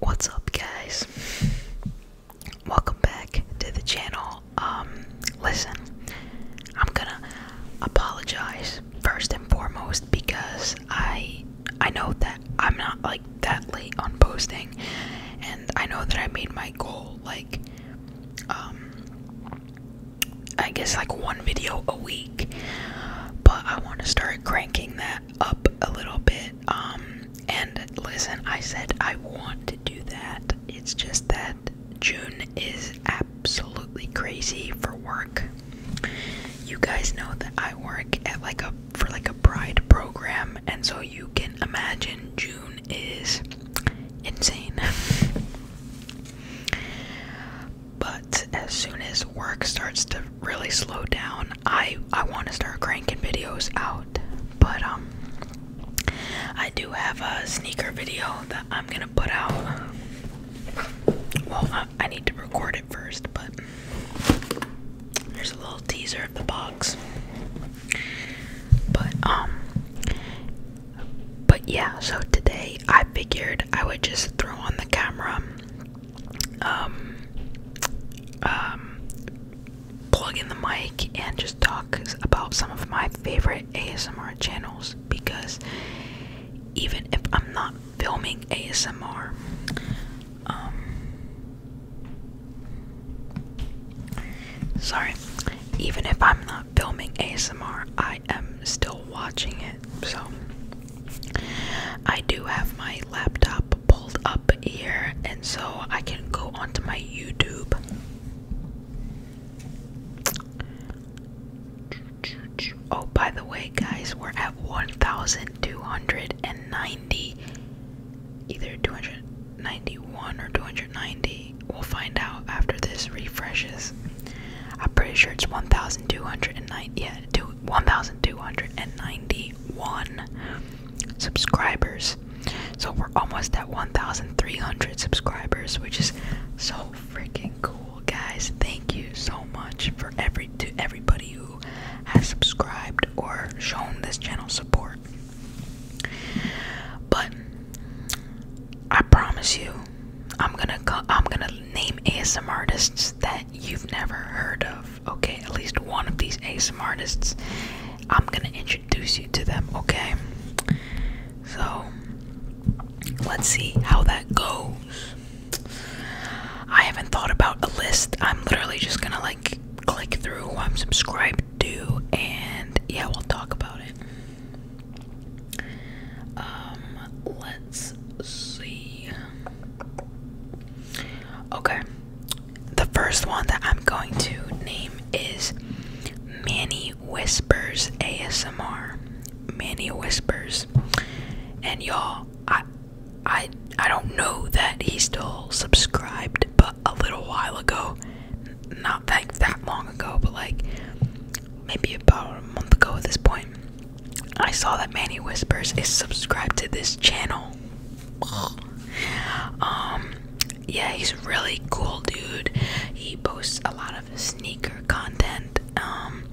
What's up, guys? Welcome back to the channel. Um, listen, I'm gonna apologize first and foremost because I I know that I'm not like that late on posting, and I know that I made my goal like um I guess like one video a week but I want to start cranking that up a little bit. Um, and listen, I said I want to do that. It's just that June is absolutely crazy for work. You guys know that I work at like a for like a pride program, and so you can imagine June is insane. But as soon as work starts to really slow down, I I want to start cranking videos out. But um, I do have a sneaker video that I'm gonna put out. Well, I, need to record it first, but there's a little teaser of the box. But um, but yeah. So today I figured I would just throw on the camera um, um, plug in the mic and just talk about some of my favorite ASMR channels because even if I'm not filming ASMR, um, sorry, even if I'm not filming ASMR, I am still watching it. So I do have my laptop pulled up here, and so I can go onto my YouTube. Oh, by the way, guys, we're at 1,290, either 291 or 290. We'll find out after this refreshes. I'm pretty sure it's 1,290. 1,291 subscribers. So we're almost at 1,300 subscribers, which is so freaking cool, guys. Thank you so much for every to everybody who has subscribed or shown this channel support. But I promise you, I'm gonna I'm gonna name ASM artists that you've never heard of. Okay, at least one of these ASM artists. I'm gonna introduce you to them. Okay, so let's see how that goes. I haven't thought about a list. I'm literally just gonna like click through who I'm subscribed to, and yeah, we'll talk about it. Um, let's see. Okay. The first one that I'm going to name is Manny Whispers ASMR. Manny Whispers. And y'all, I I I don't know that he's still subscribed, but a little while ago, not like that long ago, but like maybe about a month ago at this point, I saw that Manny Whispers is subscribed to this channel. Um, yeah, he's really cool, dude. He posts a lot of sneaker content. Um,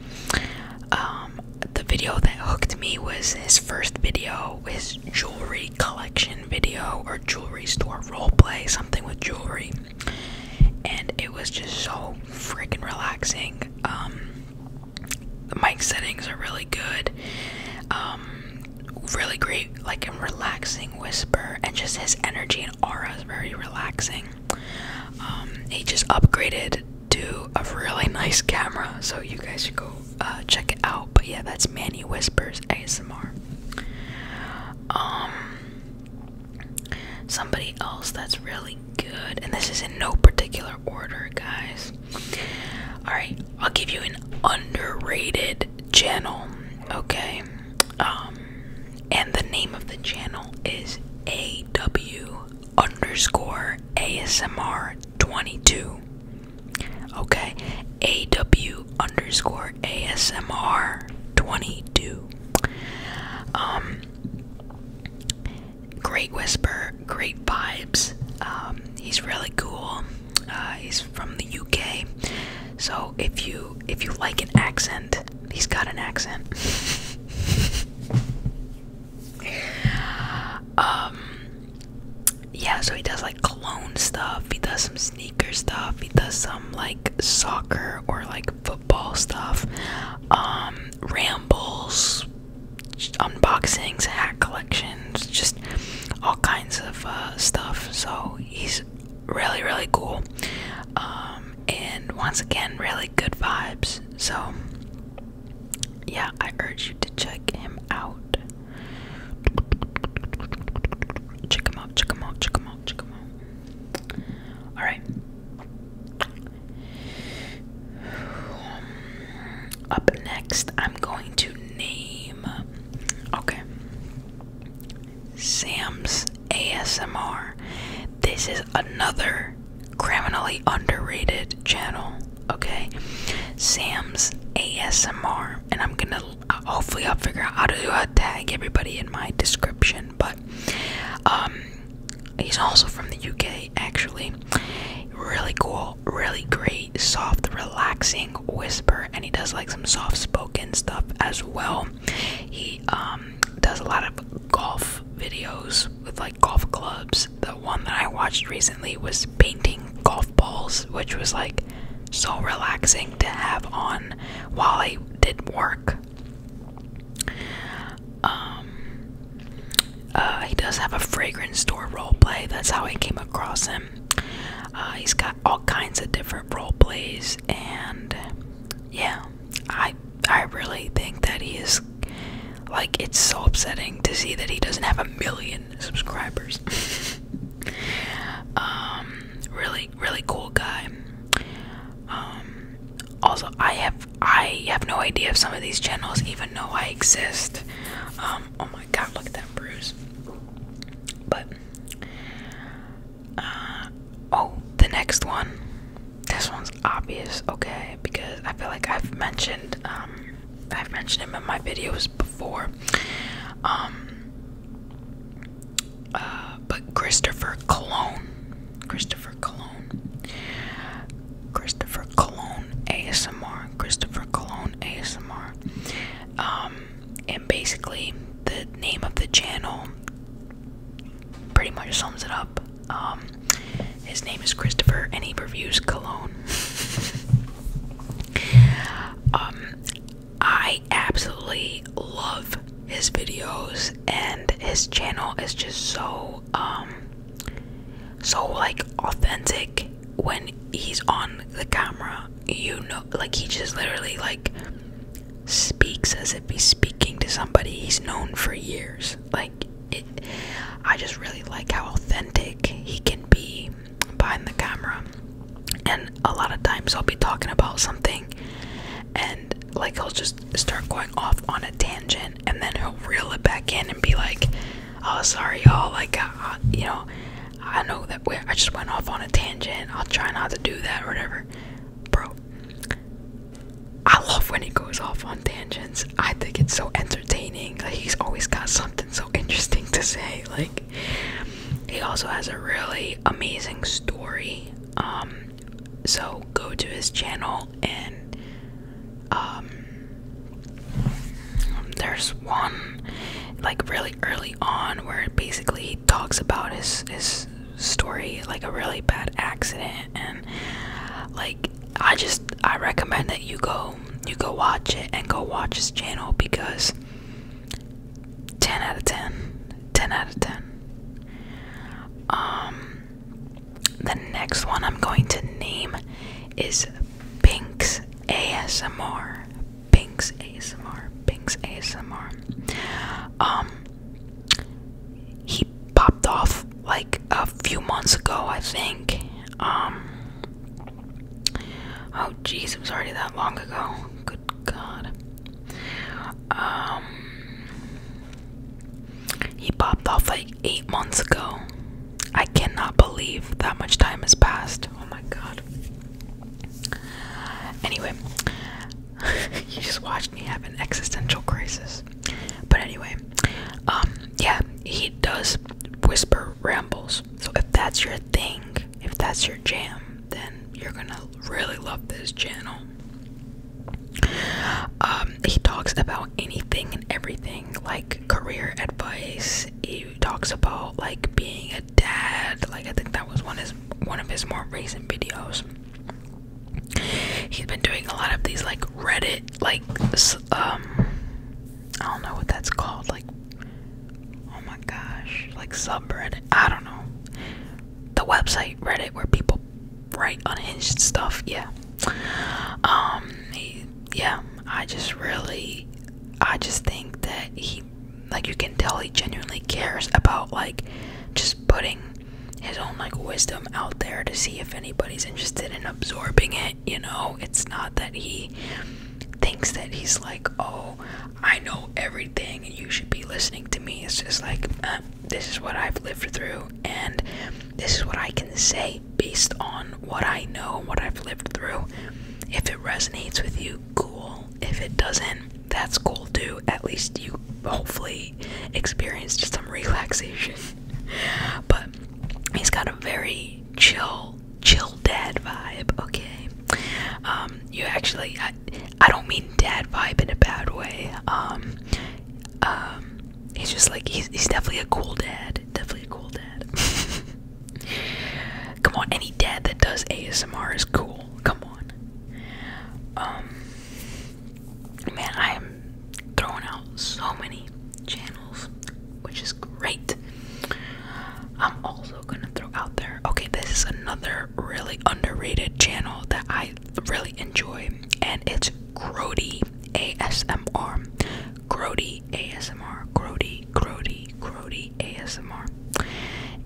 um, the video that hooked me was his first video, his jewelry collection video or jewelry store roleplay, something with jewelry. And it was just so freaking relaxing. Um, the mic settings are really good. Um, really great, like a relaxing whisper, and just his energy and aura is very relaxing. Um, he just upgraded to a really nice camera, so you guys should go uh, check it out. But yeah, that's Manny Whispers ASMR. Somebody else that's really good, and this is in no particular order, guys. Alright, I'll give you an underrated channel, okay? Um, and the name of the channel is AW underscore ASMR 22. Okay, AW underscore ASMR 22. Um, Great whisper, great vibes. Um, he's really cool. Uh, he's from the UK, so if you if you like an accent, he's got an accent. um, yeah, so he does like cologne stuff. He does some sneaker stuff. He does some like soccer or like. Football Ball stuff, um, rambles, unboxings, hat collections, just all kinds of uh, stuff. So he's really, really cool. Um, and once again, really good vibes. So, yeah, I urge you to check him out. Check him out, check him out, check him out, check him out. All right. Up next, I'm going to name. Okay. Sam's ASMR. This is another criminally underrated channel. Okay. Sam's ASMR. And I'm gonna. Hopefully, I'll figure out how to tag everybody in my description but um, he's also from the UK actually. Really cool, really great, soft, relaxing whisper, and he does like some soft spoken stuff as well. He um, does a lot of golf videos with like golf clubs. The one that I watched recently was painting golf balls, which was like so relaxing to have on while I did work um, uh, he does have a fragrance store role play. That's how I came across him. Uh, he's got all kinds of different role plays, and yeah, I I really think that he is like it's so upsetting to see that he doesn't have a million subscribers. um, really, really cool guy. Um, also i have i have no idea if some of these channels even know i exist um, oh my god look at that bruise but uh, oh the next one this one's obvious okay because i feel like i've mentioned um, i've mentioned him in my videos before um, uh, but Christopher Cologne, Christopher Cologne, Christopher Cologne ASMR, Christopher Cologne ASMR. Um, and basically, the name of the channel pretty much sums it up. Um, his name is Christopher, and he reviews cologne. Um, I absolutely love his videos and his channel is just so um so like authentic when he's on the camera you know like he just literally like speaks as if he's speaking to somebody he's known for years like it, i just really like how authentic he can be behind the camera and a lot of times i'll be talking about something and like he'll just start going off on a tangent and then he'll reel it back in and be like oh sorry y'all like uh, uh, you know i know that i just went off on a tangent i'll try not to do that or whatever bro i love when he goes off on tangents i think it's so entertaining like he's always got something so interesting to say like he also has a really amazing story um so go to his channel and um there's one like really early on where basically he talks about his his story like a really bad accident and like I just I recommend that you go you go watch it and go watch his channel because 10 out of 10 10 out of 10 um, the next one I'm going to name is Pink's ASMR. Pink's ASMR. Pink's ASMR. Um, he popped off like a few months ago, I think. Um, oh, jeez, it was already that long ago. Good God. Um, he popped off like eight months ago. I cannot believe that much time has passed. Oh my god. Anyway, you just watched me have an existential crisis. But anyway, um, yeah, he does whisper rambles. So if that's your thing, if that's your jam, then you're gonna really love this channel. Um, he talks about anything and everything, like career advice. He talks about like being a dad. Like I think that was one of his, one of his more recent videos. He's been doing a lot of these like Reddit, like um, I don't know what that's called, like oh my gosh, like subreddit. I don't know the website Reddit where people write unhinged stuff. Yeah. Um. yeah. I just really, I just think that he, like, you can tell he genuinely cares about like, just putting his own like wisdom out there to see if anybody's interested in absorbing it. You know, it's not that he thinks that he's like, oh, I know everything and you should be listening to me. It's just like, uh, this is what I've lived through, and this is what I can say based on what I know and what I've lived through. If it resonates with you, cool. If it doesn't, that's cool too. At least you hopefully experienced some relaxation. but he's got a very chill, chill dad vibe, okay? Um, you actually, I don't mean dad vibe in a bad way. Um, um, he's just like he's he's definitely a cool dad. Definitely a cool dad. Come on, any dad that does ASMR is cool. Come on. Um, man, I am throwing out so many channels, which is great. I'm also gonna throw out there. Okay, this is another really underrated channel that I really enjoy, and it's Grody ASMR. Grody ASMR. Grody, Grody, Grody ASMR.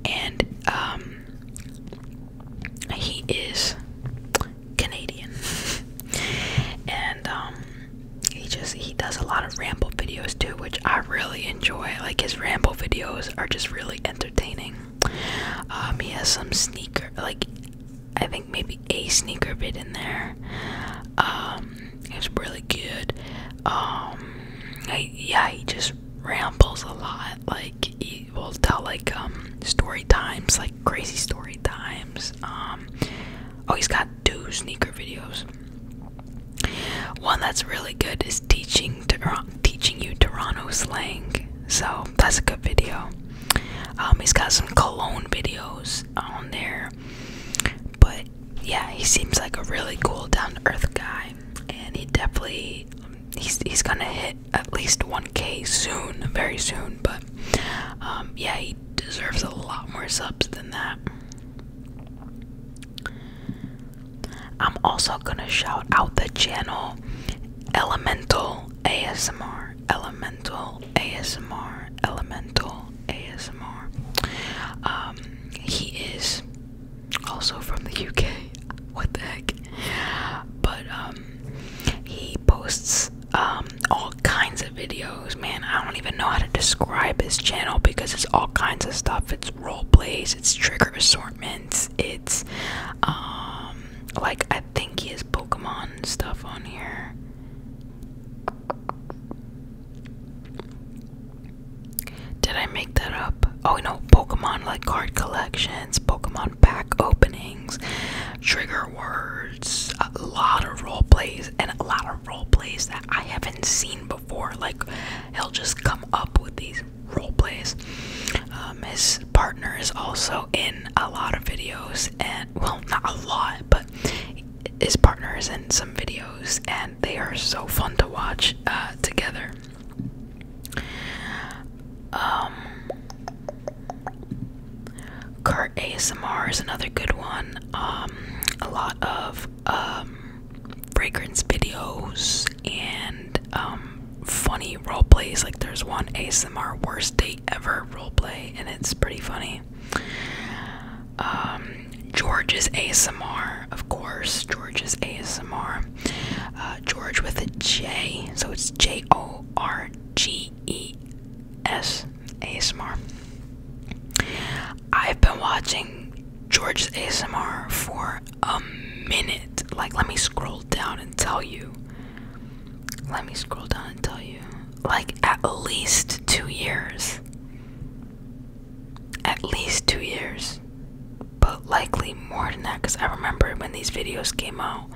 And um, he is Canadian, and um, he just he does a lot of ramble videos too, which I really enjoy. Like his ramble videos are just really entertaining. Um, he has some sneaker, like I think maybe a sneaker bit in there. it's um, really good. Um, yeah, he just rambles a lot. Like he will tell like story times, like crazy story times. Um, oh, he's got two sneaker videos. One that's really good is teaching teaching you Toronto slang. So that's a good video. Um, he's got some cologne videos on there, but yeah, he seems like a really cool, down to earth guy, and he definitely he's he's gonna hit at least 1K soon, very soon. But um, yeah, he deserves a lot more subs than that. I'm also gonna shout out the channel Elemental ASMR, Elemental ASMR, Elemental ASMR. Um, he is also from the UK. What the heck? But um, he posts um all kinds of videos. Man, I don't even know how to describe his channel because it's all kinds of stuff. It's role plays, it's trigger assortments it's um, like I think he has Pokemon stuff on here. Did I make that up? Oh no, Pokemon like card collections, Pokemon pack openings, trigger words, a lot of role plays, and a lot of role plays that I haven't seen before. Like he'll just come up with these role plays. Um, his partner is also in a lot of videos, and well, not a lot, but his partner is in some videos, and they are so fun to watch uh, together. Um, Kurt ASMR is another good one. Um, a lot of um, fragrance videos and funny role plays. Like there's one ASMR worst date ever role play, and it's pretty funny. Um, George's ASMR, of course. George's ASMR. Uh, George with a J, so it's J O R G E S ASMR. I've been watching George's ASMR for a minute. Like, let me scroll down and tell you. Let me scroll down and tell you. Like, at least two years. At least two years. But likely more than that because I remember when these videos came out.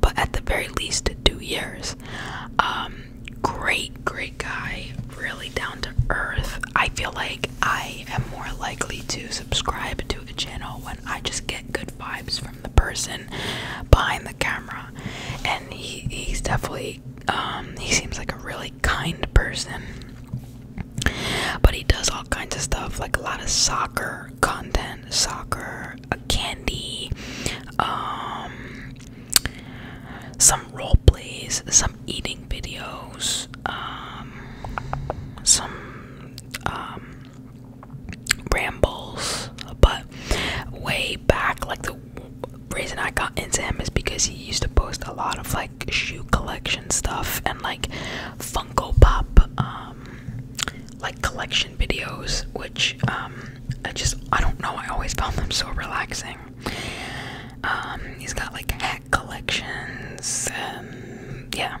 But at the very least, two years. Um, great, great guy. Really down to earth. I feel like I am more likely to subscribe to to channel when I just get good vibes from the person behind the camera. And he, he's definitely, um, he seems like a really kind person. But he does all kinds of stuff, like a lot of soccer content, soccer, uh, candy, um, some role plays, some eating videos, um, some um, rambles, but way back, like the reason I got into him is because he used to post a lot of like shoe collection stuff and like Funko Pop, um, like collection videos, which um, I just I don't know. I always found them so relaxing. he's got like collections. Um, yeah,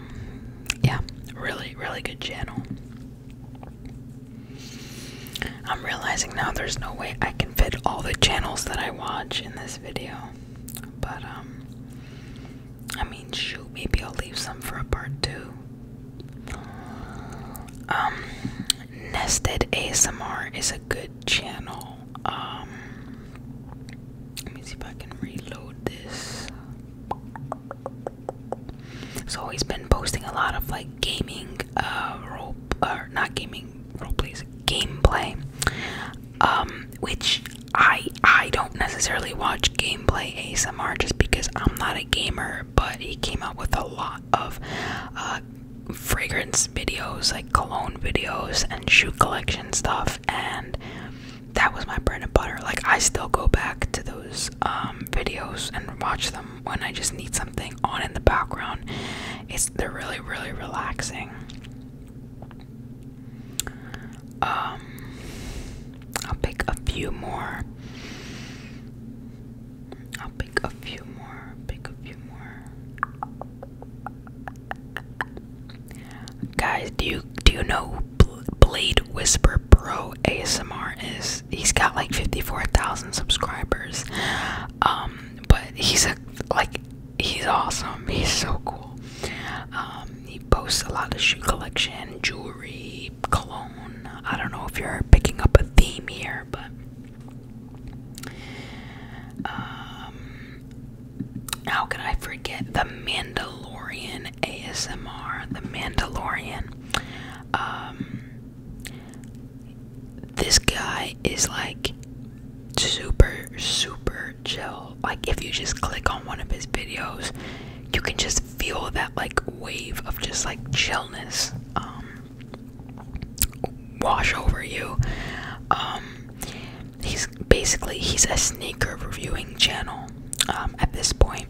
yeah, really, really good channel. I'm realizing now there's no way I can fit all the channels that I watch in this video, but um, I mean, shoot, maybe I'll leave some for a part two. Um, Nested ASMR is a good channel. Um, let me see if I can reload this. So he's been posting a lot of like gaming, uh, role or uh, not gaming role gameplay. Um, which I I don't necessarily watch gameplay ASMR just because I'm not a gamer, but he came out with a lot of uh fragrance videos like cologne videos and shoe collection stuff and that was my bread and butter. Like I still go back to those um, videos and watch them when I just need something on in the background. It's they're really really relaxing. Um, I'll pick a few more. I'll pick a few more. Pick a few more. Guys, do you do you know who Blade Whisper Pro ASMR is? He's got like 54,000 subscribers. Um, but he's a like he's awesome. He's so cool. Um, he posts a lot of shoe collection, jewelry, cologne. I don't know if you're picking up a theme here, but um, how could I forget the Mandalorian ASMR? The Mandalorian. Um, this guy is like super, super chill. Like, if you just click on one of his videos, you can just feel that like wave of just like chillness um, wash over you. Um, he's basically he's a sneaker reviewing channel um, at this point.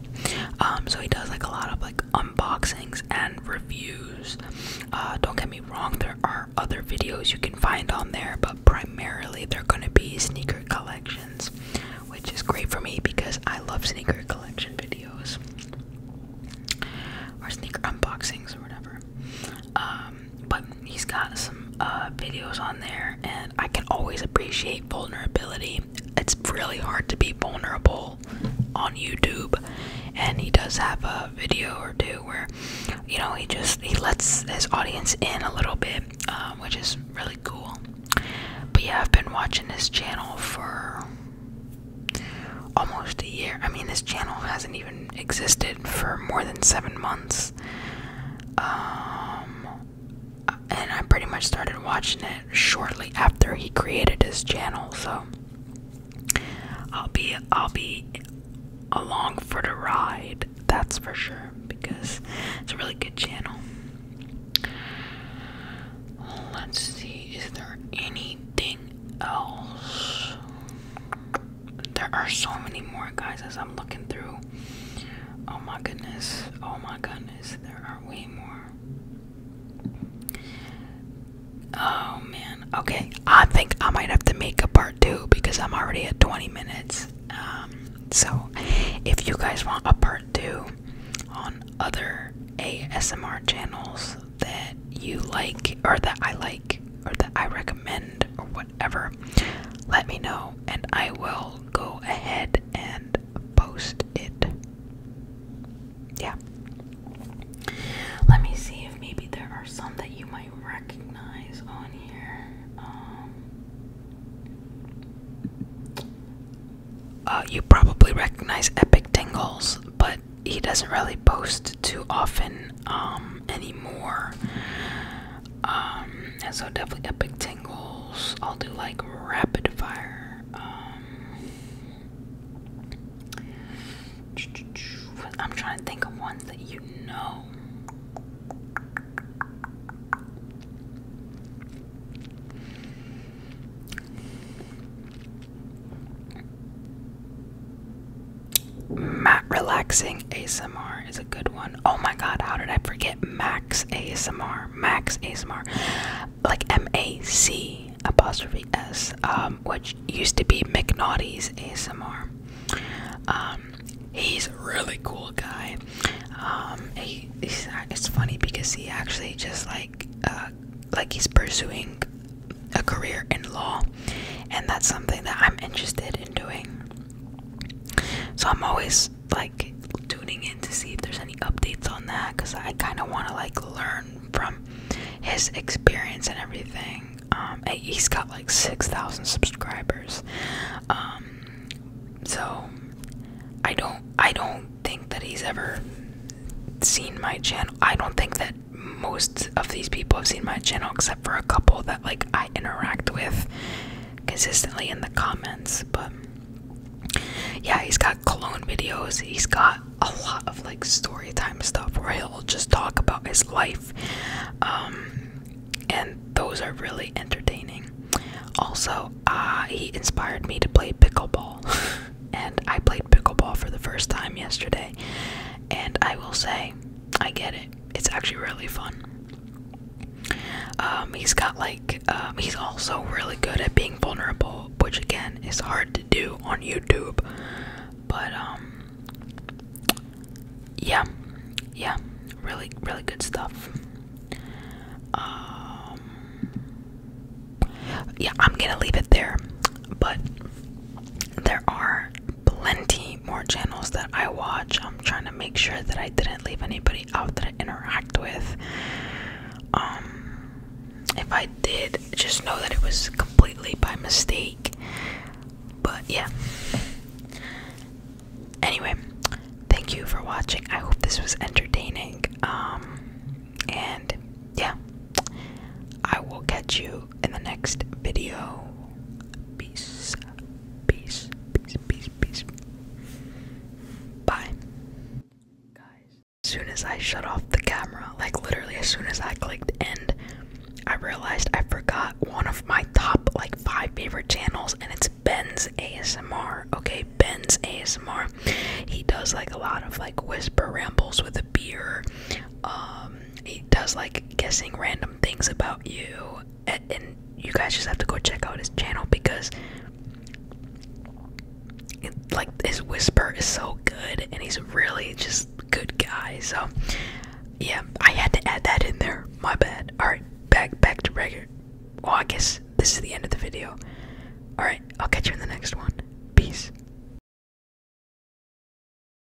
Um, so he does like a lot of like unboxings and reviews. Uh, don't get me wrong, there are other videos you can find on there, but primarily they're gonna be sneaker collections, which is great for me because I love sneaker collection videos or sneaker unboxings or whatever. Um, but he's got some uh, videos on there, and I can always appreciate vulnerability. It's really hard to be vulnerable on YouTube, and he does have a video or two where, you know, he just he lets his audience in a little bit, um, which is really cool. But yeah, I've been watching this channel for almost a year. I mean, this channel hasn't even existed for more than seven months. Um, and I pretty much started watching it shortly after he created his channel, so I'll be I'll be along for the ride, that's for sure, because it's a really good channel. Let's see, is there anything else? there are so many more guys as I'm looking through. Oh my goodness. Oh my goodness. There are way more. Oh man. Okay. I think I might have to make a part two because I'm already at 20 minutes. Um, so if you guys want a part two on other ASMR channels that you like or that I like, or that I recommend or whatever, let me know and I will go ahead and post it. Yeah. Let me see if maybe there are some that you might recognize on here. Um, uh, you probably recognize Epic Tingles, but he doesn't really post too often um, anymore. Um, and so definitely epic tingles. I'll do like rapid fire. Um, I'm trying to think of ones that you know. Matt relaxing ASMR is a good one. Oh my god, how did I forget Max ASMR? Max ASMR, like M A C apostrophe S, um, which used to be McNaughty's ASMR. Um, he's a really cool guy. Um, he, it's funny because he actually just like, uh, like he's pursuing a career in law and that's something that I'm interested in doing. So I'm always like tuning in to see if there's any updates on that because I kind of want to like learn from his experience and everything. Um, he's got like 6,000 subscribers. Um, so I don't, I don't think that he's ever seen my channel. I don't think that most of these people have seen my channel except for a couple that like I interact with consistently in the comments. But yeah, he's got cologne videos. He's got a lot of like story time stuff where he'll just talk about his life. Um, and those are really entertaining. Also, uh, he inspired me to play pickleball. and I played pickleball for the first time yesterday. And I will say, I get it it's actually really fun. Um, he's got like, um, he's also really good at being vulnerable, which again is hard to do on YouTube. But, um, yeah, yeah, really, really good stuff. yeah, I'm gonna leave it there, but there are plenty more channels that I watch. I'm trying to make sure that I didn't leave anybody out that I interact with. Um, if I did, just know that it was completely by mistake. But yeah. Anyway, thank you for watching. I hope this was entertaining. Um, and yeah, I will catch you you in the next video. Peace, peace, peace, peace, peace. Bye. Guys, as soon as I shut off the camera, like literally as soon as I clicked end, I realized I forgot one of my top like five favorite channels and it's Ben's ASMR. Okay, Ben's ASMR. He does like a lot of like whisper rambles with a beer. Um he does like guessing random things about you, and, you guys just have to go check out his channel because, like, his whisper is so good, and he's really just good guy. So, yeah, I had to add that in there. My bad. All right, back back to regular. Well, I guess this is the end of the video. All right, I'll catch you in the next one. Peace.